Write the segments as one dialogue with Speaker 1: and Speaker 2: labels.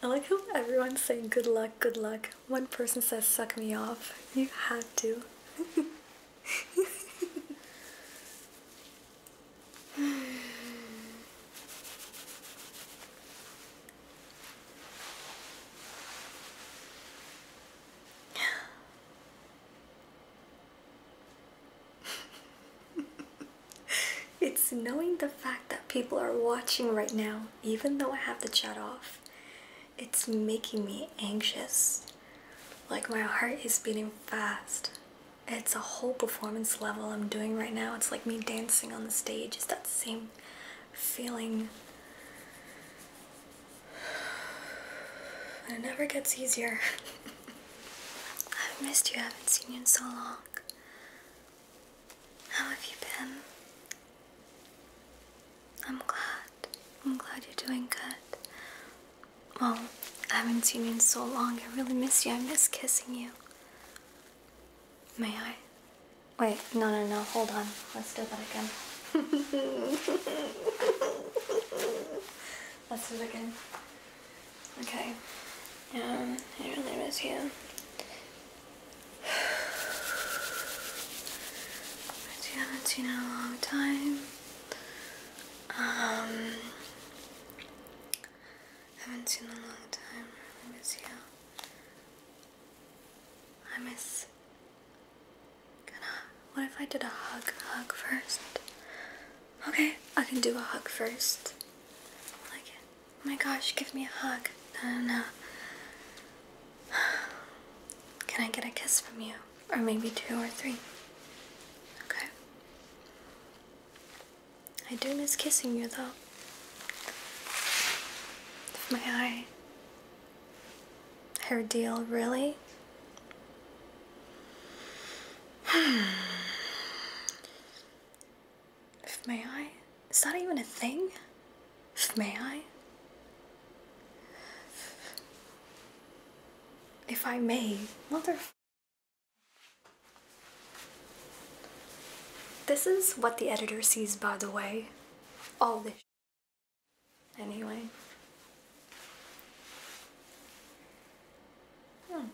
Speaker 1: I like how everyone's saying good luck, good luck. One person says suck me off. You had to. it's knowing the fact that people are watching right now, even though I have the chat off. It's making me anxious. Like my heart is beating fast. It's a whole performance level I'm doing right now. It's like me dancing on the stage. Is that same feeling it never gets easier. I've missed you, I haven't seen you in so long. How have you been? I'm glad. I'm glad you're doing good. Well, I haven't seen you in so long. I really miss you. I miss kissing you. May I? Wait, no, no, no, hold on. Let's do that again. Let's do it again. Okay. Yeah, I really miss you. But you haven't seen in a long time. Um, haven't seen in a long time. I really miss you. I miss what if I did a hug, hug first? Okay, I can do a hug first. like it. Oh my gosh, give me a hug. No, no, no. Can I get a kiss from you? Or maybe two or three? Okay. I do miss kissing you though. If my eye her deal, really? if may I? Is that even a thing? If may I? If I may, mother. This is what the editor sees, by the way. All this. Anyway. Hmm.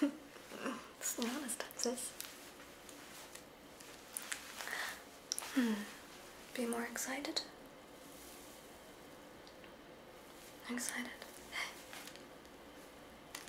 Speaker 1: it's not as tough as Hmm. Be more excited. Excited.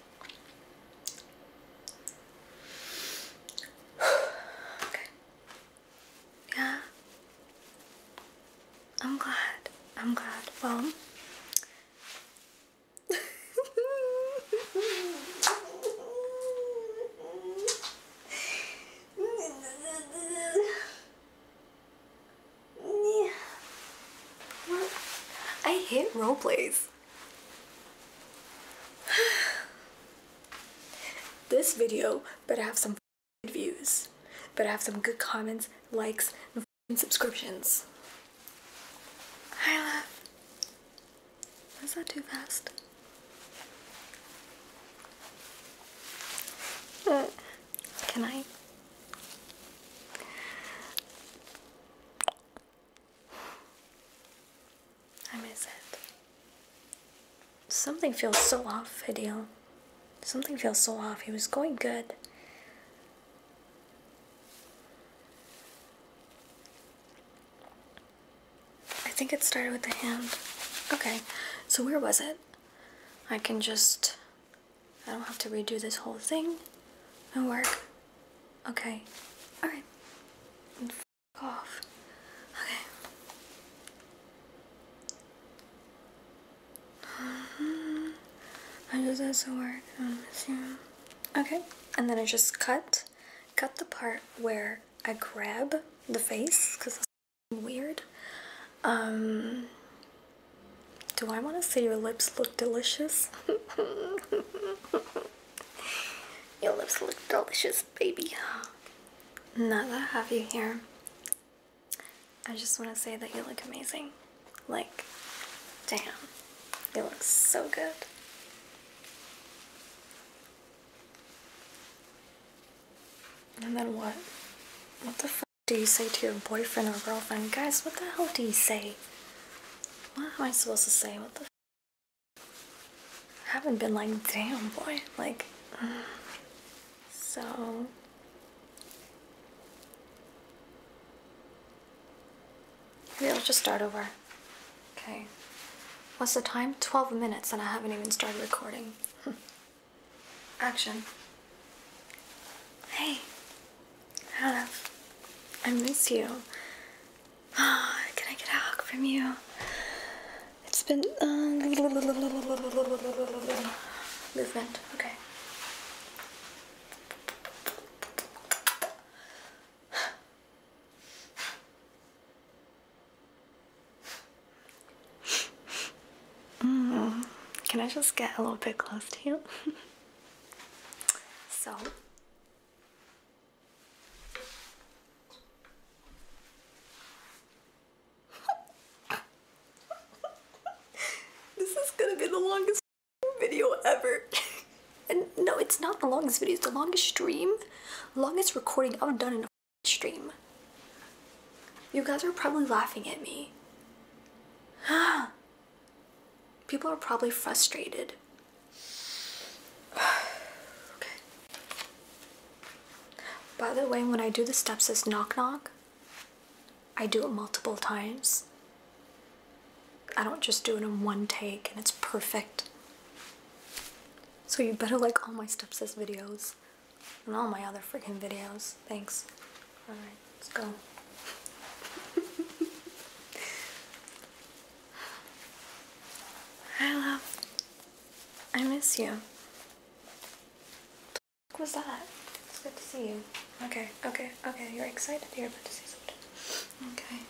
Speaker 1: okay. Yeah. I'm glad. I'm glad. Well. I hate role plays. this video better have some views, better have some good comments, likes, and subscriptions. I love. Was that too fast? Uh, can I? I miss it. Something feels so off, Hideo. Something feels so off. He was going good. I think it started with the hand. Okay, so where was it? I can just... I don't have to redo this whole thing and work. Okay, alright cough. Okay. I just have to work um, Okay, and then I just cut, cut the part where I grab the face, because that's weird. Um, do I want to say your lips look delicious? Your lips look delicious, baby. Now that I have you here, I just want to say that you look amazing. Like, damn, you look so good. And then what? What the fuck do you say to your boyfriend or girlfriend? Guys, what the hell do you say? What am I supposed to say? What the I haven't been like, damn boy, like, so. Maybe I'll just start over. Okay. What's the time? 12 minutes and I haven't even started recording. Action. Hey. I I miss you. Can I get a hug from you? It's been uh, movement. Okay. Mm. Can I just get a little bit close to you? so, this is gonna be the longest video ever. and no, it's not the longest video, it's the longest stream, longest recording I've done in a stream. You guys are probably laughing at me. people are probably frustrated. okay. By the way, when I do the steps as knock knock, I do it multiple times. I don't just do it in one take and it's perfect. So you better like all my steps as videos and all my other freaking videos. Thanks. Alright, let's go. Hi, love. I miss you. What was that? It's good to see you. Okay, okay, okay. You're excited. You're about to see something. Okay.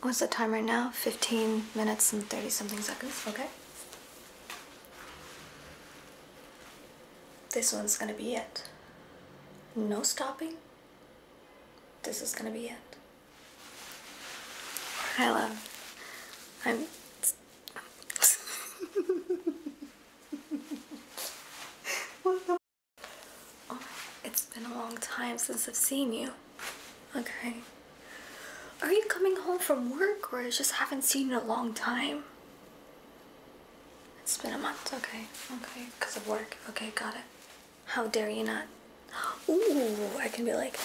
Speaker 1: What's the time right now? 15 minutes and 30 something seconds. Okay. This one's gonna be it. No stopping. This is gonna be it. Hi, love. I'm. what the? it's been a long time since I've seen you. Okay. Are you coming home from work or just haven't seen in a long time? It's been a month. Okay. Okay. Because of work. Okay. Got it how dare you not? Ooh, I can be like,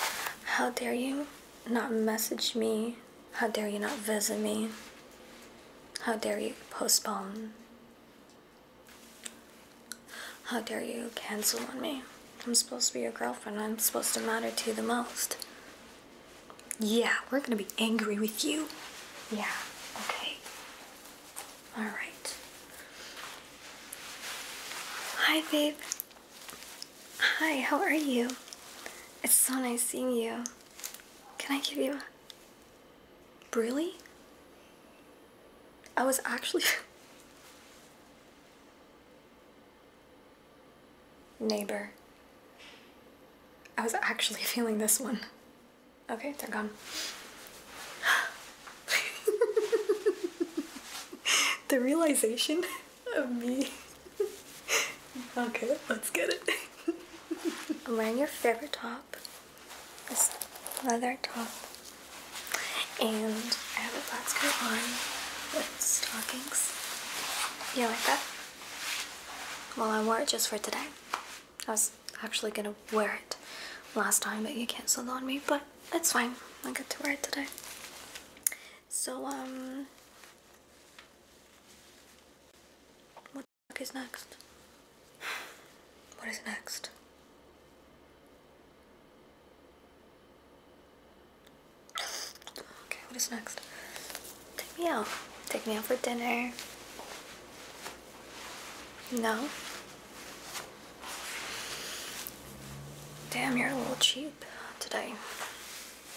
Speaker 1: how dare you not message me? How dare you not visit me? How dare you postpone? How dare you cancel on me? I'm supposed to be your girlfriend. I'm supposed to matter to you the most. Yeah, we're gonna be angry with you. Yeah, okay. All right. Hi, babe. Hi, how are you? It's so nice seeing you. Can I give you Really? I was actually... Neighbor. I was actually feeling this one. Okay, they're gone. the realization of me. okay, let's get it. I'm wearing your favorite top. This leather top. And I have a black skirt on with stockings. Yeah, like that? Well, I wore it just for today actually gonna wear it last time, but you cancelled on me. But that's fine. I get to wear it today. So um, what the fuck is next? What is next? Okay, what is next? Take me out. Take me out for dinner. No? Damn, you're a little cheap today.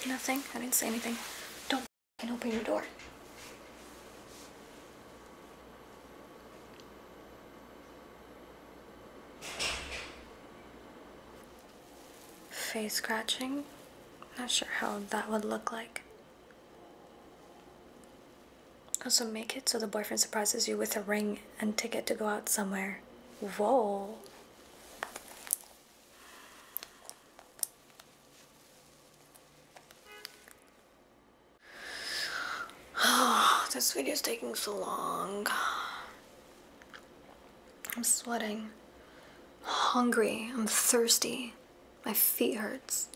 Speaker 1: Nothing? I didn't say anything. Don't open your door. Face scratching? Not sure how that would look like. Also, make it so the boyfriend surprises you with a ring and ticket to go out somewhere. Whoa. this video is taking so long. I'm sweating. Hungry. I'm thirsty. My feet hurts.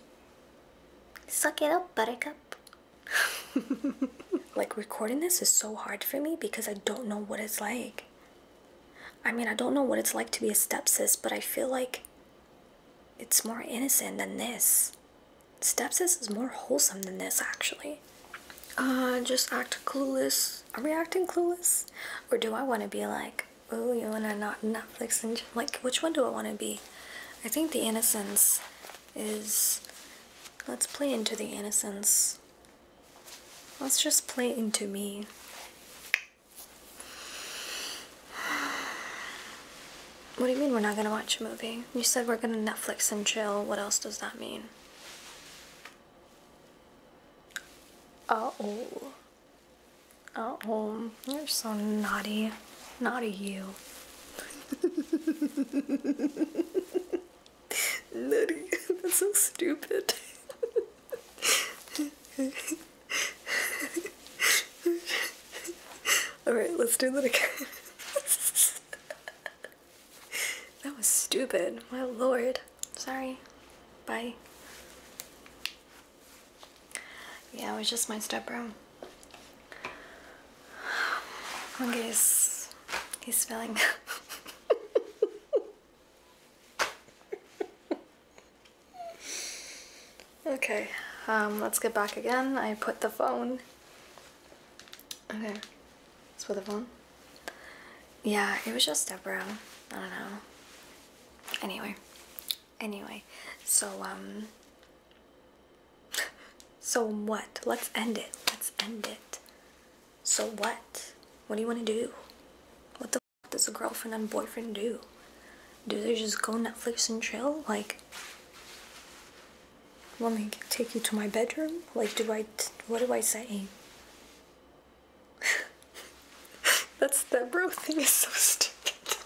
Speaker 1: Suck it up, buttercup. like recording this is so hard for me because I don't know what it's like. I mean, I don't know what it's like to be a stepsis, but I feel like it's more innocent than this. Stepsis is more wholesome than this, actually. Uh, just act clueless. Are we acting clueless? Or do I want to be like, oh, you want to not Netflix and like, which one do I want to be? I think the innocence is let's play into the innocence. Let's just play into me. What do you mean we're not gonna watch a movie? You said we're gonna Netflix and chill. What else does that mean? Uh oh. At home you're so naughty. Naughty you. naughty. That's so stupid. Alright, let's do that again. that was stupid. My lord. Sorry. Bye yeah, it was just my stepbro. Okay, he's, he's spelling. okay, let's get back again. I put the phone. Okay, let's put the phone. Yeah, it was just Deborah. I don't know. Anyway, anyway, so um, so what? Let's end it. Let's end it. So what? What do you want to do? What the fuck does a girlfriend and boyfriend do? Do they just go Netflix and chill? Like, want me take you to my bedroom? Like, do I? what do I say? That's that bro thing is so stupid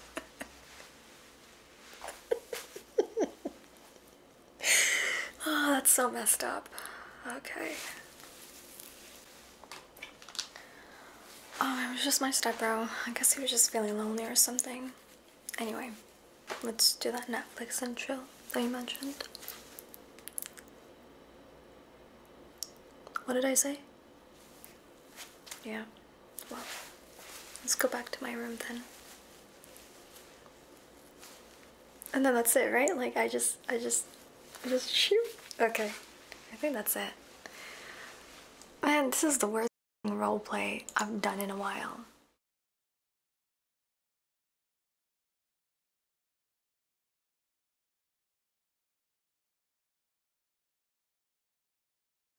Speaker 1: oh, that's so messed up. Okay. Oh, it was just my stepbro. I guess he was just feeling lonely or something. Anyway, let's do that Netflix and chill that you mentioned. What did I say? Yeah. Well, let's go back to my room then. And then that's it, right? Like I just, I just, just shoot. Okay, I think that's it. Man, this is the worst role play I've done in a while.